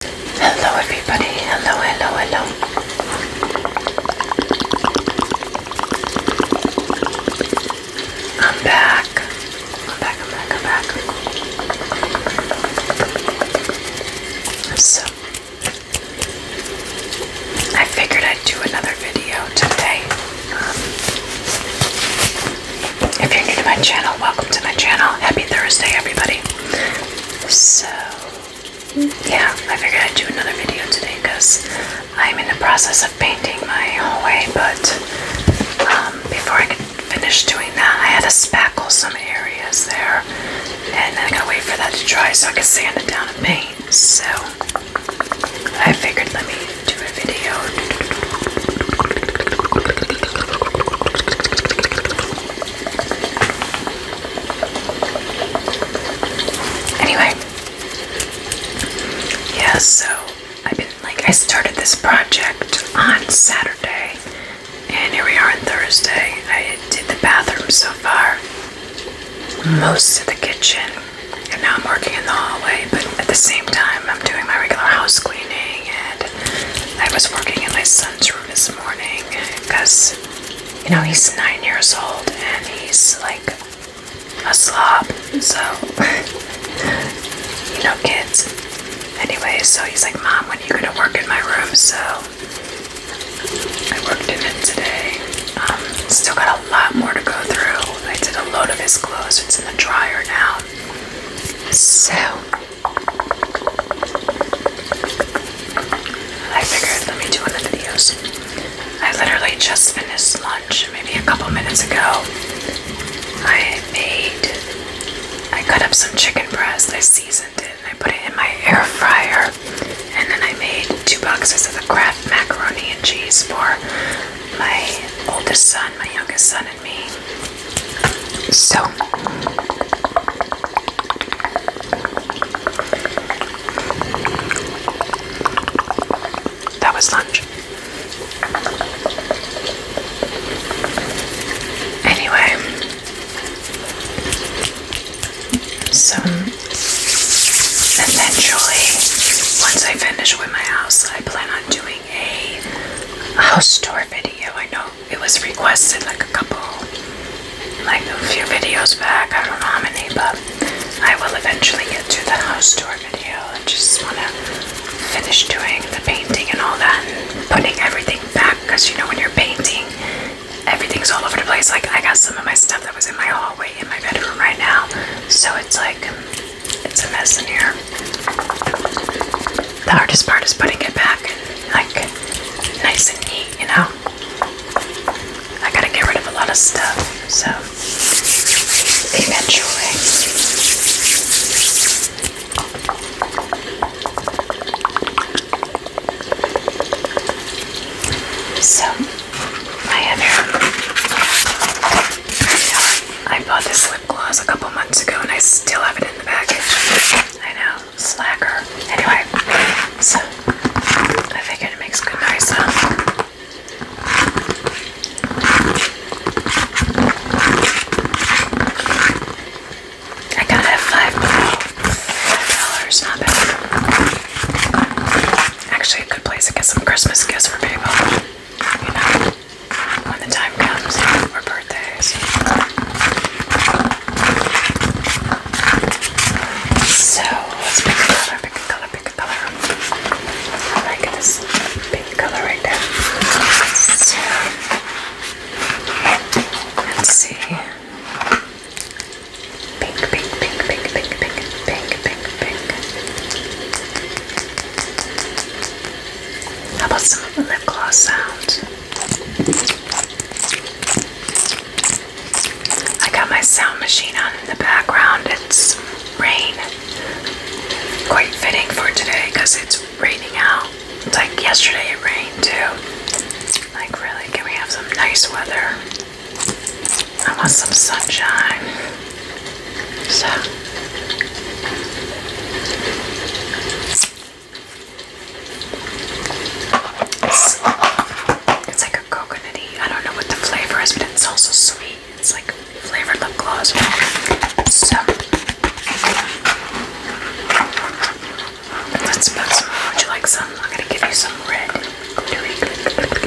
Hello everybody, hello, hello, hello. I'm back. I'm back, I'm back, I'm back. So, I figured I'd do another video today. Um, if you're new to my channel, welcome to my channel. Happy Thursday, everybody. So, yeah, I figured I'd do another video today because I'm in the process of painting my hallway, but um, before I could finish doing that, I had to spackle some areas there, and I gotta wait for that to dry so I can sand it down and paint. So, I figured let me do a video. Anyway, yeah, so I've been like, I started this project on Saturday, and here we are on Thursday. I did the bathroom so far, most of the kitchen, and now I'm working in the hallway, but at the same time, I'm doing my regular house cleaning, and I was working in my son's room this morning because you know he's nine years old and he's like a slob. So you know kids. Anyway, so he's like, Mom, when are you gonna work in my room? So I worked in it today. Um, still got a lot more to go through. I did a load of his clothes. It's in the dryer now. So I figured let me do one of the videos. I literally just finished lunch maybe a couple minutes ago. I made, I cut up some chicken breast, I seasoned it, and I put it in my air fryer. And then I made two boxes of the Kraft macaroni and cheese for my oldest son, my youngest son, and me. So that was lunch. Anyway, so eventually, once I finish with my house, I plan on doing a house tour video. I know it was requested like a couple, like a few videos back. I don't know how many, but I will eventually get to the house tour video. I just want to finish doing the painting and all that and putting everything back because you know when you're painting, everything's all over the place. Like I got some of my stuff that was in my hallway in my bedroom right now, so it's like it's a mess in here. The hardest part is putting it back, like nice and neat, you know. I gotta get rid of a lot of stuff, so eventually. So I have here. I bought this lip gloss a couple months ago, and I still have it in the package. I know slacker. Anyway, so I think it makes good noise. Huh? I got it at five dollars, not bad. Actually, a good place to get some Christmas gifts for people. when the time comes, or birthdays. So let's pick a color, pick a color, pick a color. I like this pink color right there. So let's see. Pink, pink, pink, pink, pink, pink, pink, pink, pink. How about some lip gloss sounds? I got my sound machine on in the background. It's rain. Quite fitting for today because it's raining out. It's like yesterday it rained too. Like, really, can we have some nice weather? I want some sunshine. So. It's, like a coconutty. I don't know what the flavor is, but it's also sweet. It's like flavored lip gloss. So Would you like some? I'm gonna give you some red glittery,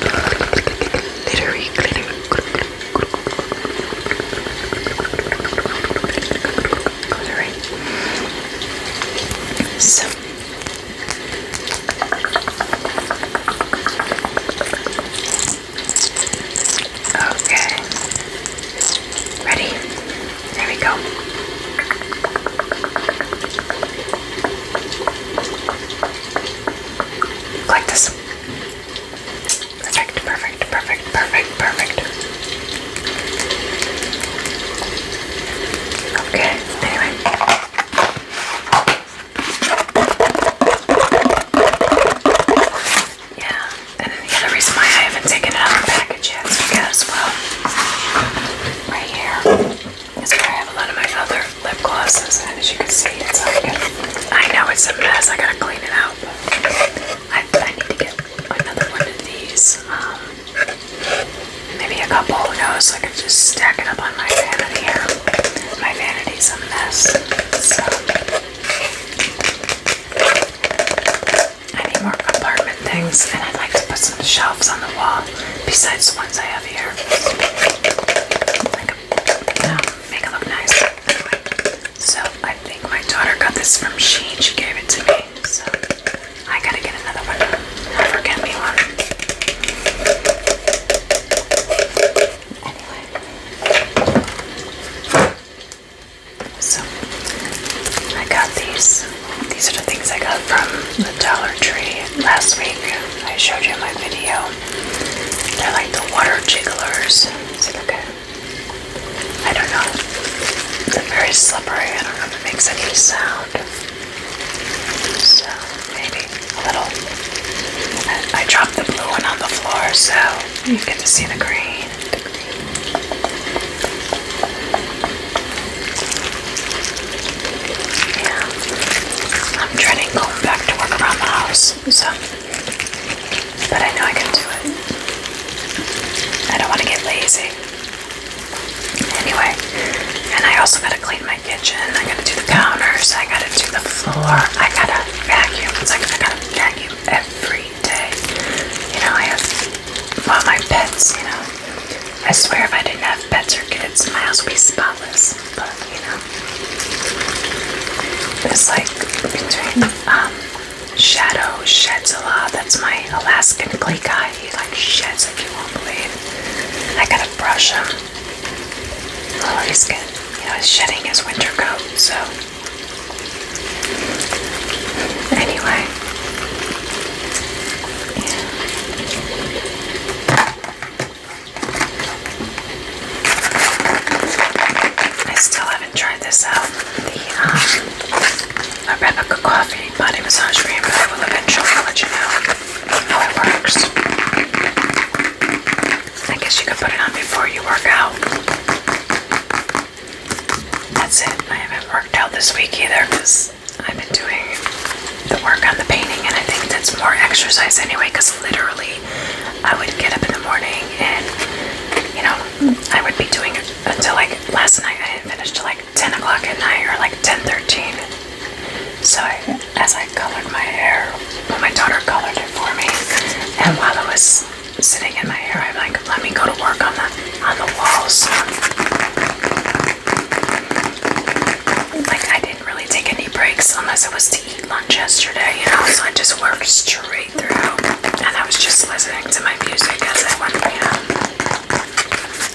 glittery, glittery, glittery. Glittery. So Okay. Ready? There we go. Like this. Perfect, perfect perfect, perfect, perfect, perfect. Okay, anyway. Yeah, and the other reason why I haven't taken it package yet because, well, right here is where I have a lot of my other lip glosses, and as you can see, it's like, I know it's a mess, I gotta clean it out, I, I need to get another one of these. Um, maybe a couple, who I could just stack it up on my vanity here. My vanity's a mess. So, I need more compartment things, and I'd like to put some shelves on the wall besides the ones I have here. make it look nice. so I think my daughter got this from Sheen. She gave it to me so I gotta get another one. Never get me one. Anyway, so I got these. These are the things I got from the Dollar Tree last week. I showed you in my video. They're like the water jigglers. See, look at I don't know. They're very slippery. I don't know if it makes any sound. So maybe a little. I, dropped the blue one on the floor so you get to see the green. Yeah. I'm dreading going back to work around the house. So but I know I can do it. I don't want to get lazy. Anyway, and I also gotta clean my kitchen. I gotta do the counters. I gotta do the floor. I gotta vacuum. It's like I gotta vacuum every day. You know, I have well my pets. You know, I swear if I didn't have pets or kids, my house would be spotless. But you know, it's like between um Shadow sheds a lot. That's my Alaskan clay guy. He like sheds like you won't believe. I gotta brush him. Oh, he's good. he's shedding his winter coat. So anyway, I still have tried this out. The um, coffee body massage cream, but I will eventually let you know how it works. I guess you could put it on before you work out. That's it. I haven't worked out this week either because I've been doing the work on the painting, and I think that's more exercise anyway. Because literally, I would get up in the morning and you know I would be doing it until like last night. I finished finish like 10 o'clock at night or like 10:13. So as I colored my hair, my daughter colored it for me, and while I was sitting in my hair, I'm like, let me go to work on the on the walls. Like I didn't really take any breaks unless it was to eat lunch yesterday, you know. So I just worked straight through, and I was just listening to my music as I went around.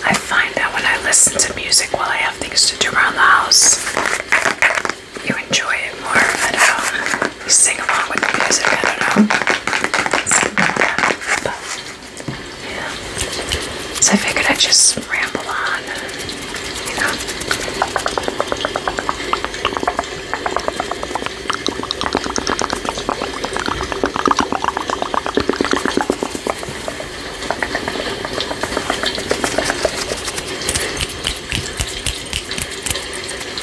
I find that when I listen to music while I have things to do around the house, you enjoy it more. I don't know. You sing along with the music. I don't know. yeah. So I figured I'd just ramble on. You know.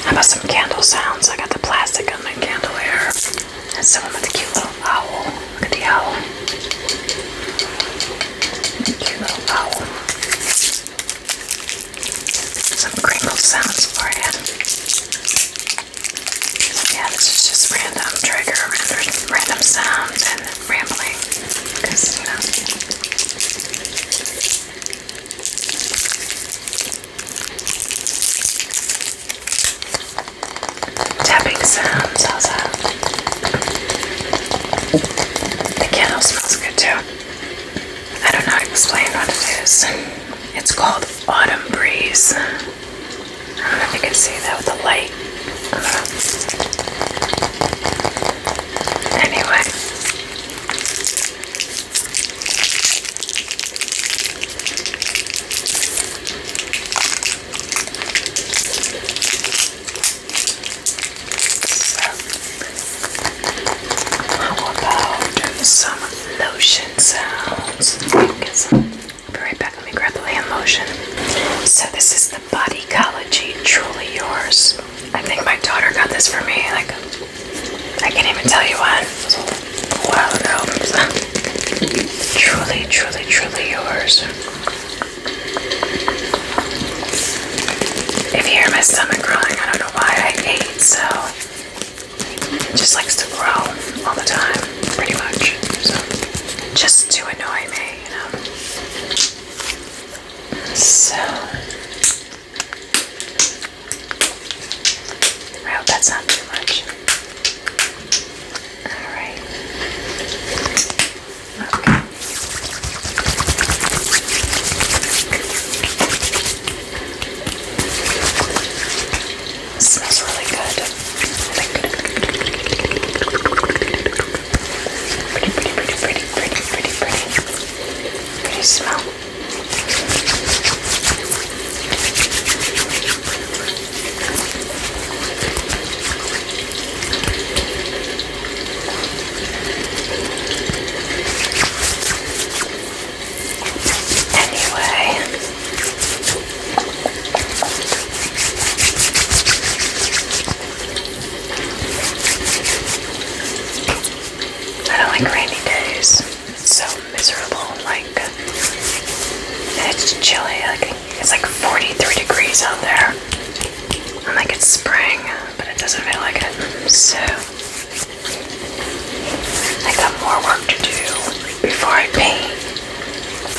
How about some candle sounds? I got the plastic on my candle here. And someone with a cute little owl. Look at the owl. Cute little owl. Some crinkle sounds for it yeah, this is just random trigger, random, random sounds, and rambling. Because, you know. Tapping sounds, The candle smells good too. I don't know how to explain what it is. It's called Autumn Breeze. I don't know if you can see that with the light. Anyway. how about some lotion sound? else. I'll be right back. Let me grab the hand lotion. So this is the Body Ecology Truly Yours. I think my daughter got this for me. Like I can't even tell you what. A while ago. truly, truly, truly yours. If you hear my stomach growling, I don't know why I ate so just likes to grow all the time, pretty much. So, just to annoy me, you know. So, I hope that's not too much. Alright. Okay. It smells really good. Pretty, pretty, pretty, pretty, pretty, pretty, pretty, pretty smell. Anyway, I don't like rainy days. It's so miserable. Like it's chilly. Like it's like 43 degrees out there. i like it's spring, but it doesn't feel like it. So I got more work to do before I paint.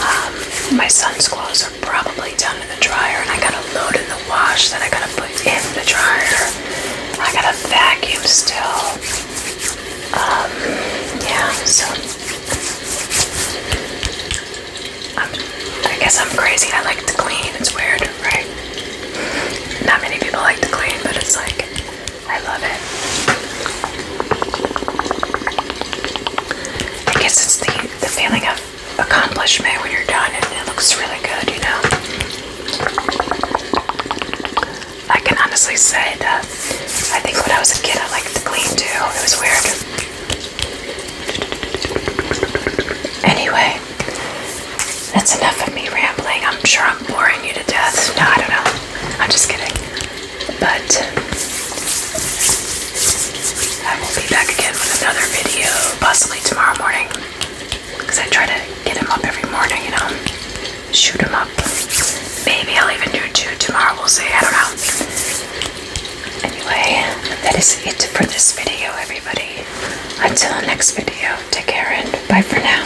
Um, my son's clothes are probably done in the dryer, and I gotta load in the wash that I gotta put in the dryer. I gotta vacuum still. Um, yeah, so. Um, I guess I'm crazy. I like to clean. It's weird, right? Not many people like to clean, but it's like I love it. I guess it's the, the feeling of accomplishment when you're done and it looks really good, you know. I can honestly say that I think when I was a kid I liked to clean too. It was weird. Anyway, that's enough of me rambling. I'm sure I'm boring you to death. No, I don't know. I'm just kidding. But I will be back again with another video, possibly tomorrow morning. Because I try to get him up every morning, you know. Shoot him up. Maybe I'll even do two tomorrow, we'll see. I don't know. Anyway, that is it for this video, everybody. Until next video, take care and bye for now.